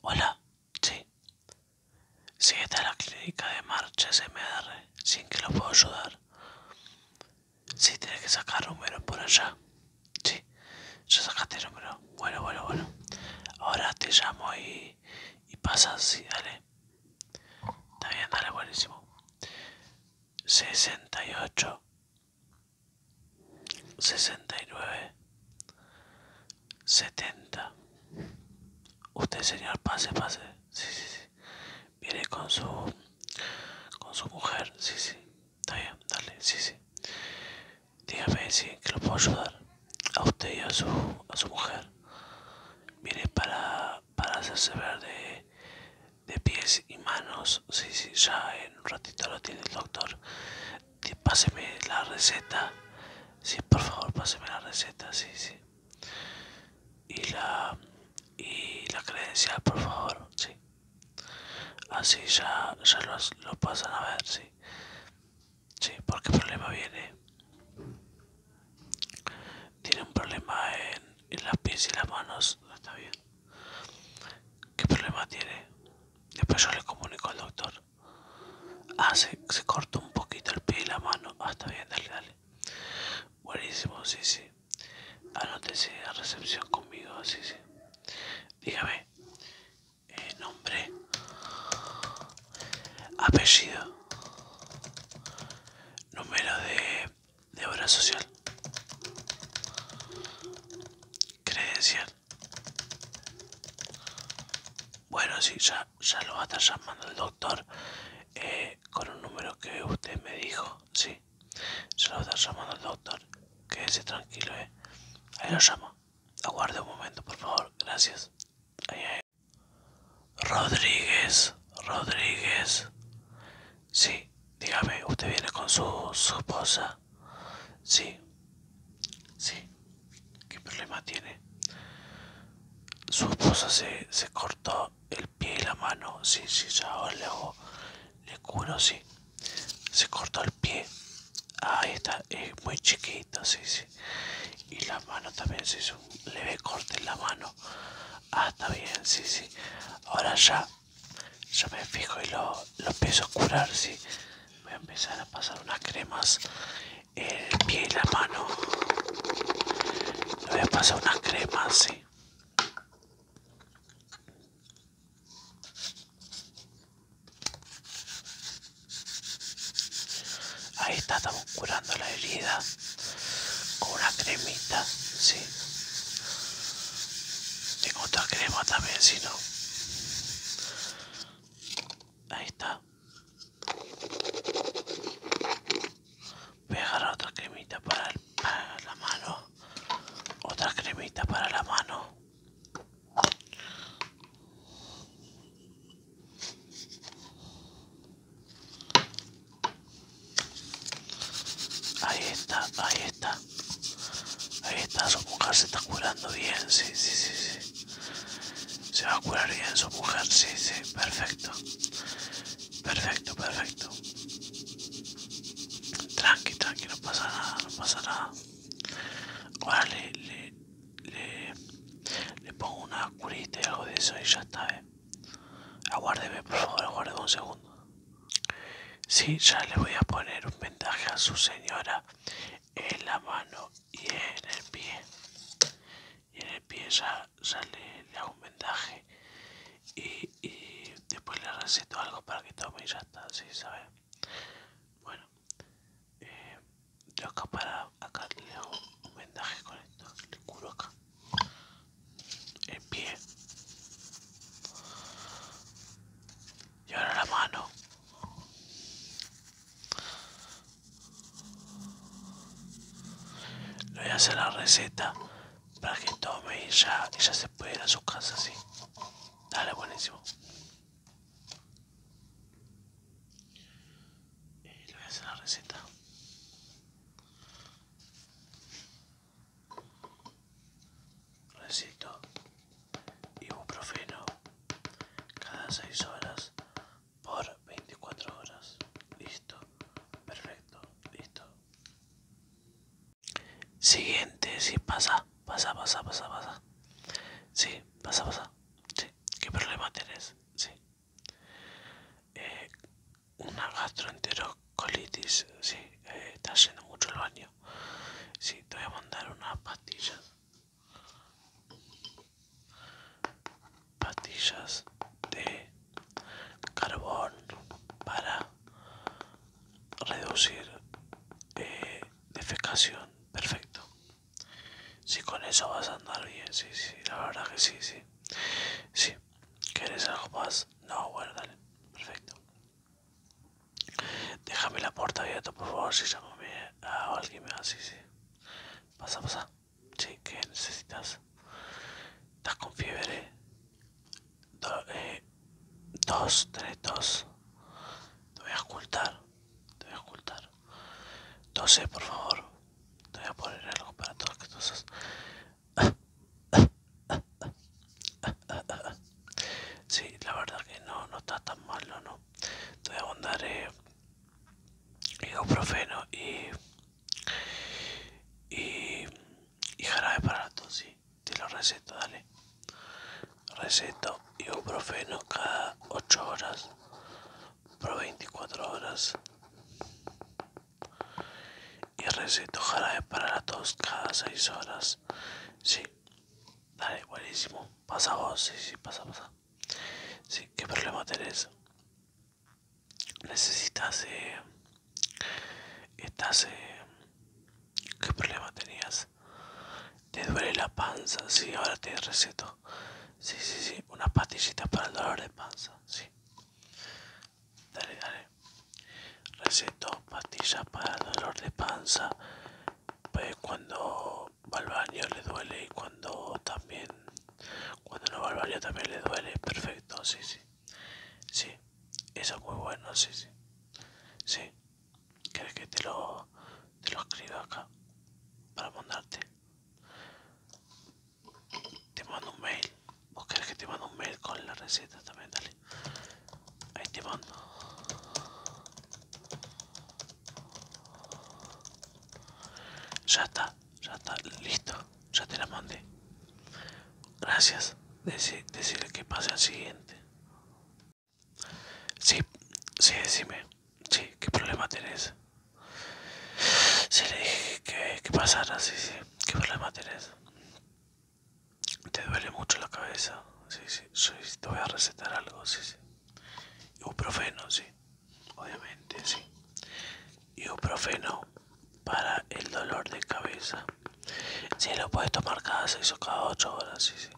Hola, sí. si está la clínica de marcha SMR. Sin que lo puedo ayudar. Sí, tienes que sacar número por allá. Sí, ya sacaste número. Bueno, bueno, bueno. Ahora te llamo y, y pasas. y dale. Está bien, dale, buenísimo. 68 69 70 Usted, señor, pase, pase. Sí, sí, sí. Viene con su con su mujer. Sí, sí. dale. Sí, sí. Dígame si que lo puedo ayudar a usted y a su a su mujer. Viene para para hacerse ver de, de pies y manos. Sí, sí. Ya en un ratito lo tiene el doctor páseme la receta. Sí, por favor, páseme la receta, sí, sí. Y la, y la credencial, por favor, sí. Así ya, ya lo, lo pasan a ver, sí. Sí, porque el problema viene. Tiene un problema en, en las pies y las manos, está bien. ¿Qué problema tiene? Después yo le comunico al doctor. Ah, se, cortó un poquito el pie y la mano. Ah, está bien, dale, dale. Buenísimo, sí, sí. Anótese a recepción conmigo, sí, sí. Dígame. Eh, nombre. Apellido. Número de, de obra social. Credencial. Bueno, sí, ya, lo va a estar llamando el doctor eh, con un número que usted me dijo, sí. Ya lo va a estar llamando el doctor. Quédese tranquilo, eh. Ahí lo llamo. Aguarde un momento, por favor. Gracias. Rodríguez, Rodríguez. Sí, dígame, ¿usted viene con su, esposa? Sí, sí. ¿Qué problema tiene? Su esposa se, cortó el pie y la mano. Sí, sí, ya ahora le, le curo, sí. Se cortó el pie. Ah, ahí está, es muy chiquito, sí, sí. Y la mano también se hizo un leve corte en la mano. Ah, está bien, sí, sí. Ahora ya yo me fijo y lo, lo empiezo a curar, sí. Voy a empezar a pasar unas cremas en el pie y la mano. Le voy a pasar unas cremas, sí. Ahí está, estamos curando la herida con una cremita, sí. Tengo otra crema también, si no. Ahí está. Voy otra cremita para, para la mano. Otra cremita para la mano. Ahí está, ahí está. Ahí está, su mujer se está curando bien, sí, sí, sí, sí. Se va a curar bien su mujer, sí, sí, perfecto. Perfecto, perfecto. Tranqui, tranqui, no pasa nada, no pasa nada. le, le, pongo una curita y algo de eso y ya está, eh. Aguárdeme, por favor, aguárdeme un segundo. Sí, ya le voy a poner un vendaje a su señora en la mano y en el pie. Y en el pie ya, le, hago un vendaje y, después le receto algo para que tome y ya está, ¿sí sabe? Bueno, yo eh, para acá le hago un vendaje con esto, le curo acá. En pie y ahora la mano le voy a hacer la receta para que tome y ya, y ya se puede ir a su casa así. dale buenísimo y le voy a hacer la receta Recito ibuprofeno cada 6 horas por 24 horas. Listo, perfecto, listo. Siguiente, si pasa, pasa, pasa, pasa, pasa. Sí, pasa, pasa. Sí, ¿qué problema tenés? Sí. Eh, una gastroenterocolitis. Sí, eh, está haciendo mucho el baño. Sí, te voy a mandar unas pastillas. Pastillas de carbón para reducir eh, defecación. Perfecto. Si sí, con eso vas a andar bien. Sí, sí, la verdad que sí, sí. Sí. ¿Quieres algo más? No, bueno, dale. Perfecto. Déjame la puerta abierta, por favor, si llamo a ah, alguien. más, sí, sí. Pasa, pasa. Sí, ¿qué necesitas? ¿Estás con fiebre? Eh, dos, tres, dos. Te voy a ocultar. Te voy a ocultar. 12, por favor. Te voy a poner algo para que tú sos si la verdad que no, no está tan malo, ¿no? Te voy a mandar eh, ibuprofeno y, y, y jarabe para la tos, sí. Te lo receto, dale. Receto ibuprofeno cada 8 horas por 24 horas. Y receto, jarabe para la tos cada seis horas. Sí, dale, buenísimo. Pasa vos, sí, sí, pasa, pasa. Sí, ¿qué problema tenés? Necesitas, eh. Estás, eh. ¿Qué problema tenías? Te duele la panza, Si ahora te receto. Sí, sí, sí, unas pastillitas para el dolor de panza, sí. Dale, dale. Receto pastillas para dolor de panza. Pues cuando Balbario le duele y cuando también. Cuando no balbario también le duele. Perfecto, sí, sí. Sí, eso es muy bueno, sí, sí. Sí. crees que te lo, te lo escriba acá? Para mandarte. Te mando un mail. o crees que te mando un mail con la receta también? Dale. Ahí te mando. Ya está, ya está, listo. Ya te la mandé. Gracias. decirle que pase al siguiente. Sí, sí, decime. Sí, ¿qué problema tenés? Se le dije que, pasara, sí, sí. ¿Qué problema tenés? Te duele mucho la cabeza, sí, sí. te voy a recetar algo, sí, sí. Ibuprofeno, sí. Obviamente, sí. Ibuprofeno para el dolor de cabeza. Si lo puedes tomar cada seis o cada ocho horas, sí, sí.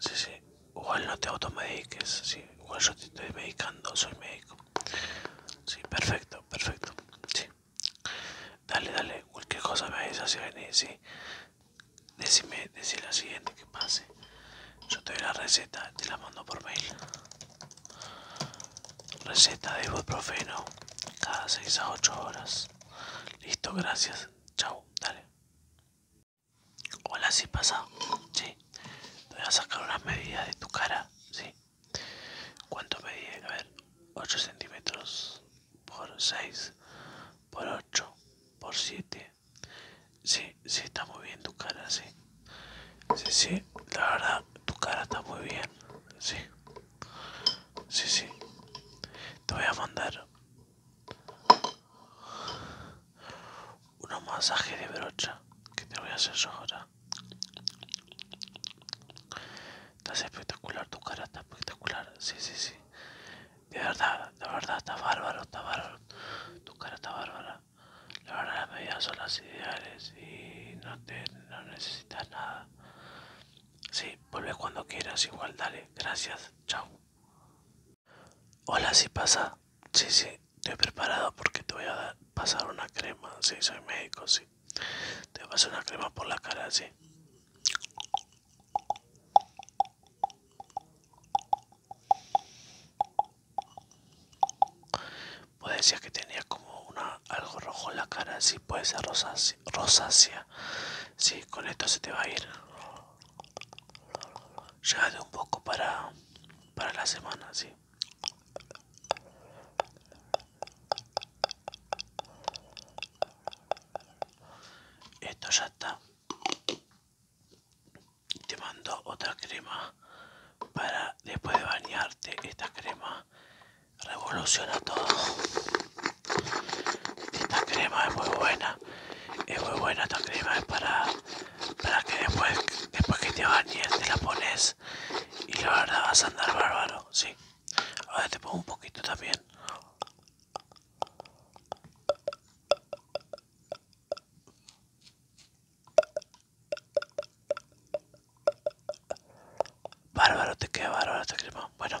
Sí, sí. Igual no te automediques. Sí, yo te estoy medicando, soy médico. Sí, perfecto, perfecto. Sí. Dale, dale, cualquier cosa me dices si Decime, decime la siguiente que pase. Yo te doy la receta, te la mando por mail. Receta de ibuprofeno cada 6 a 8 horas. Listo, gracias. Chao, dale. Hola, si pasa, si, Te voy a sacar unas medidas de tu cara, sí. ¿Cuánto medí? A ver, 8 centímetros por 6, por 8, por 7. si, si, está muy bien tu cara, sí. Sí, sí, la verdad, tu cara está muy bien, sí. Sí, sí. Te voy a mandar unos masaje de brocha que te voy a hacer yo ahora. Estás espectacular, tu cara está espectacular. Sí, sí, sí. De verdad, de verdad, está bárbaro, está bárbaro. Tu cara está bárbara. La verdad, las medidas son las ideales y no, te, no necesitas nada. Sí, vuelve cuando quieras, igual, dale. Gracias, chao. Hola, si pasa. si sí, he preparado porque te voy a pasar una crema. si soy médico, si Te vas a una crema por la cara, sí. puede decía que tenía como una algo rojo en la cara, si puede ser rosácea. si con esto se te va a ir. Llévate un poco para, para la semana, sí. Esto ya está. Te mando otra crema para después de bañarte. Esta crema revoluciona todo. Esta crema es muy buena es muy buena esta crema para, para que después después que te bañes te la pones y la verdad vas a andar bárbaro sí ahora te pongo un poquito también Bárbaro, te queda bárbaro esta crema. Bueno,